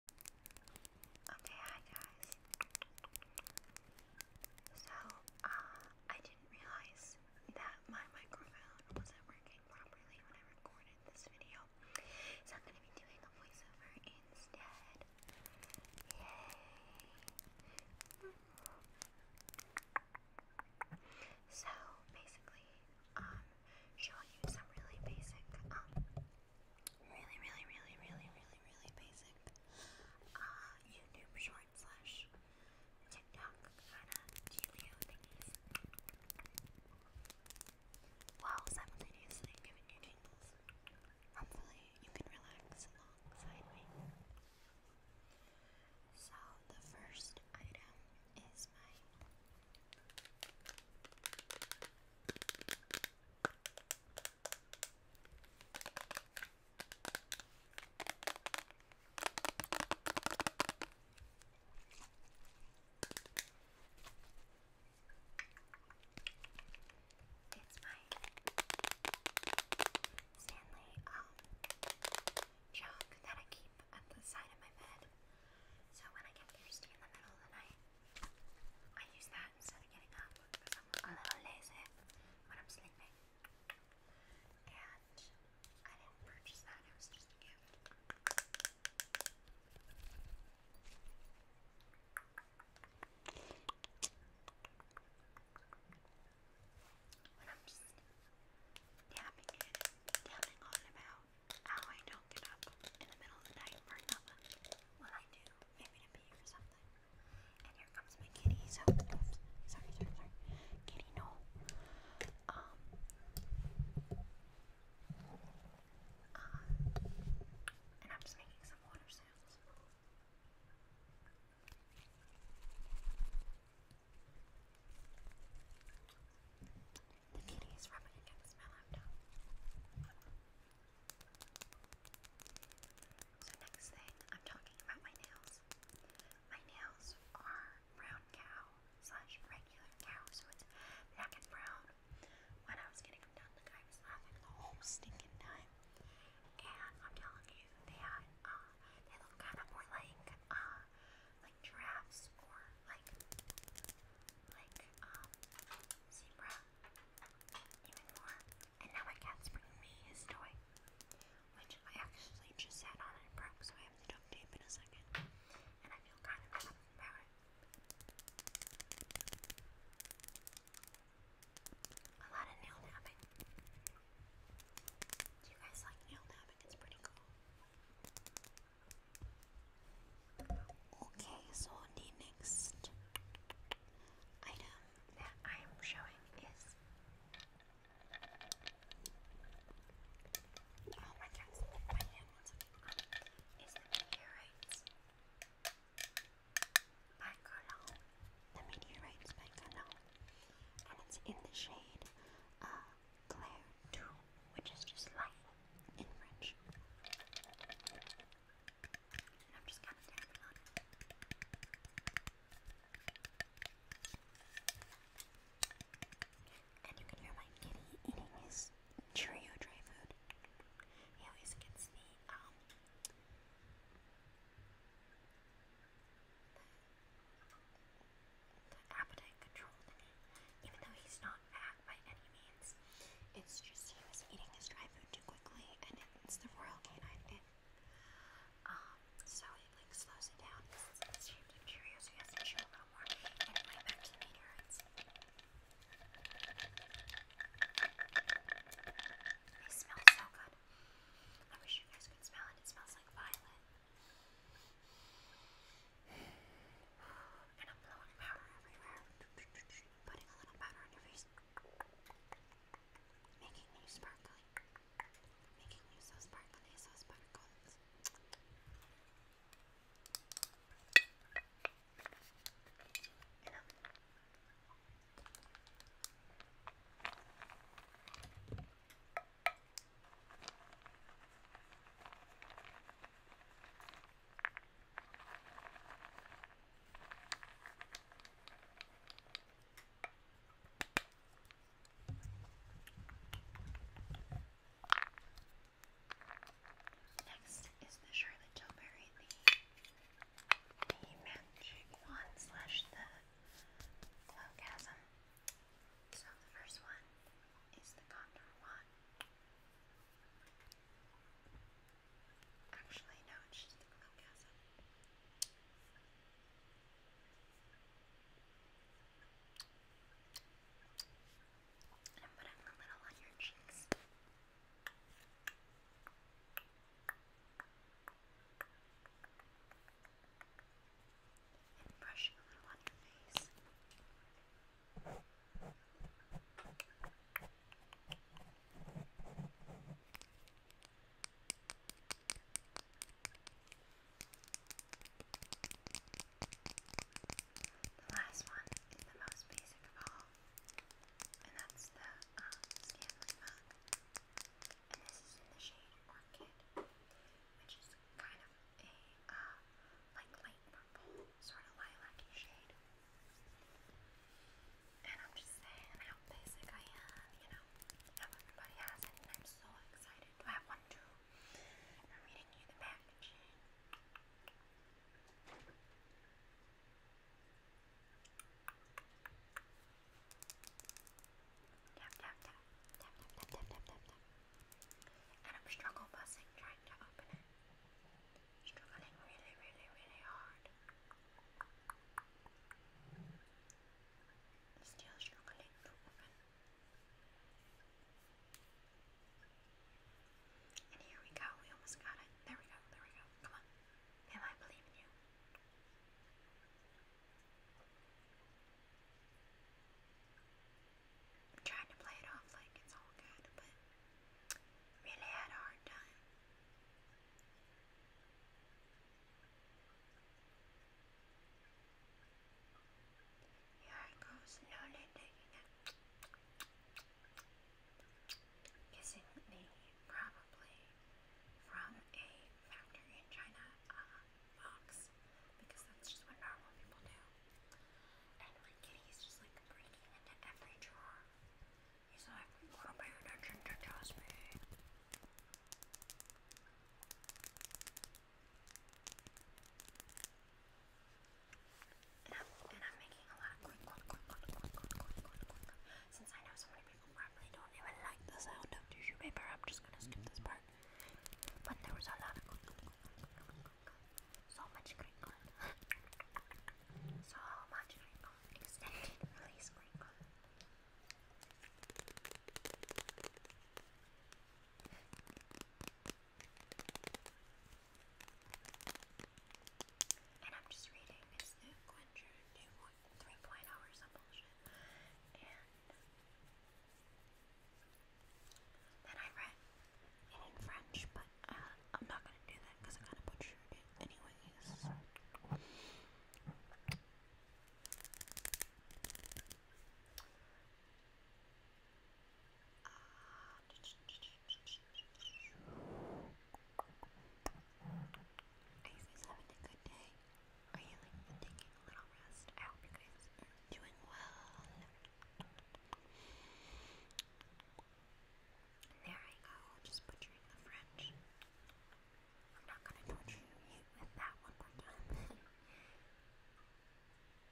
Okay, hi guys. So, uh, I didn't realize that my microphone wasn't working properly when I recorded this video. So I'm gonna be doing a voiceover instead. Yay! So, basically, um, show you some really basic, um, really, really, really, really, really, really basic uh, YouTube short slash TikTok kind of dealio thingies while simultaneously giving you tingles. Hopefully you can relax alongside me. So the first item is mine. It's mine. Stanley um that I keep up at the side of my bed. So when I get thirsty in the middle of the night, I use that instead of getting up a little lazy when I'm sleeping. And I didn't purchase that, it was just a gift. When I'm just tapping it, tapping on about how I don't get up in the middle of the night for nothing. Well, I do. Maybe to pee or something. And here comes my kitty. So, Sorry, sorry, sorry. Kitty, no. Um. Uh, and I'm just making some water sounds. The kitty is rubbing against my laptop. So next thing, I'm talking about my nails. My nails are brown cow slash regular cow, so it's black and brown. When I was getting them done, the guy was laughing the whole stinking time. And I'm telling you, they had, uh, they look kind of more like, uh, like giraffes or like like um zebra even more. And now my cat's bringing me his toy, which I actually just sat on and broke, so I have to duct tape in a second. And I feel kind of bad about it. A lot of nail napping. Do you guys like nail napping? think it's Okay, so the next item that I am showing is. Oh my cat's my hand once again. Is the The meteorites by And it's in the shade uh, Claire which is just life in French. And I'm just kind of tapping on And you can hear my kitty eating his Cheerio dry food. He always gets the, appetite controlled even though he's not fat by any means. It's just he was eating his dry food too quickly, and it's the royal canine did. Um, so it like slows it down. It's shaped of Cheerios, so he has to chew a little more. Anyway, back to the meteorites. They smell so good bad. I wish you guys could smell it. It smells like violet. And I'm blowing powder everywhere. Putting a little powder on your face. Making you sparkly. Making you so sparkly, so sparkles. You know, Next is the Charlotte Tilbury, the the magic wand slash the logasm. So the first one is the contour wand. Actually, no, it's just the logasm. And i a little on your cheeks and brushing on your face. The last one is the most basic of all. And that's the um, Stanley mug. And this is in the shade Orchid, which is kind of a uh, like light purple, sort of lilac shade. And I'm just saying how basic I am, you know, everybody has it, and I'm so excited to have one too. I'm reading you the packaging. Tap, tap, I'm struggle trying to open it. Struggling really, really, really hard. Still struggling to open. And here we go. We almost got it. There we go. There we go. Come on. Ma'am, I believe you. I'm trying to play it off like it's all good, but really had a hard time. Here I go, slowly taking it Kissing me probably from a factory in China uh, box because that's just what normal people do. And my kitty just like breaking into every drawer. He's like, "What pay attention to toss me?" And I'm, and I'm making a lot quick, quick, quick, quick, quick, quick, quick, quick, quick. Since I know so many people probably don't even like the sound of tissue paper, I'm just gonna skip this part. But there was a lot of quick, quick, quick, quick, quick, quick. So much crinkle. so much crinkle. Extended release crinkle. And I'm just reading, it's the Quencher 3.0 or some bullshit. And then I read it in French, but uh, I'm not gonna do that because I kind of butchered it anyways. Are you guys having a good day? Are you taking a little rest? I hope you guys are doing well. There I go, just butchering the French. I'm not gonna torture you with that one more time.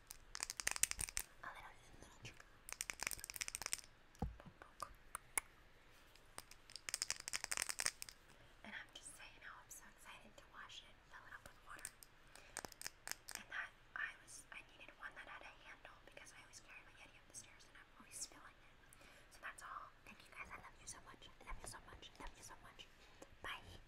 And I'm just saying I'm so excited to wash it fill it up with water. And that I was I needed one that had a handle because I always carry my Yeti up the stairs and I'm always spilling it. So that's all. Thank you guys. I love you so much. I love you so much. I love you so much. Bye.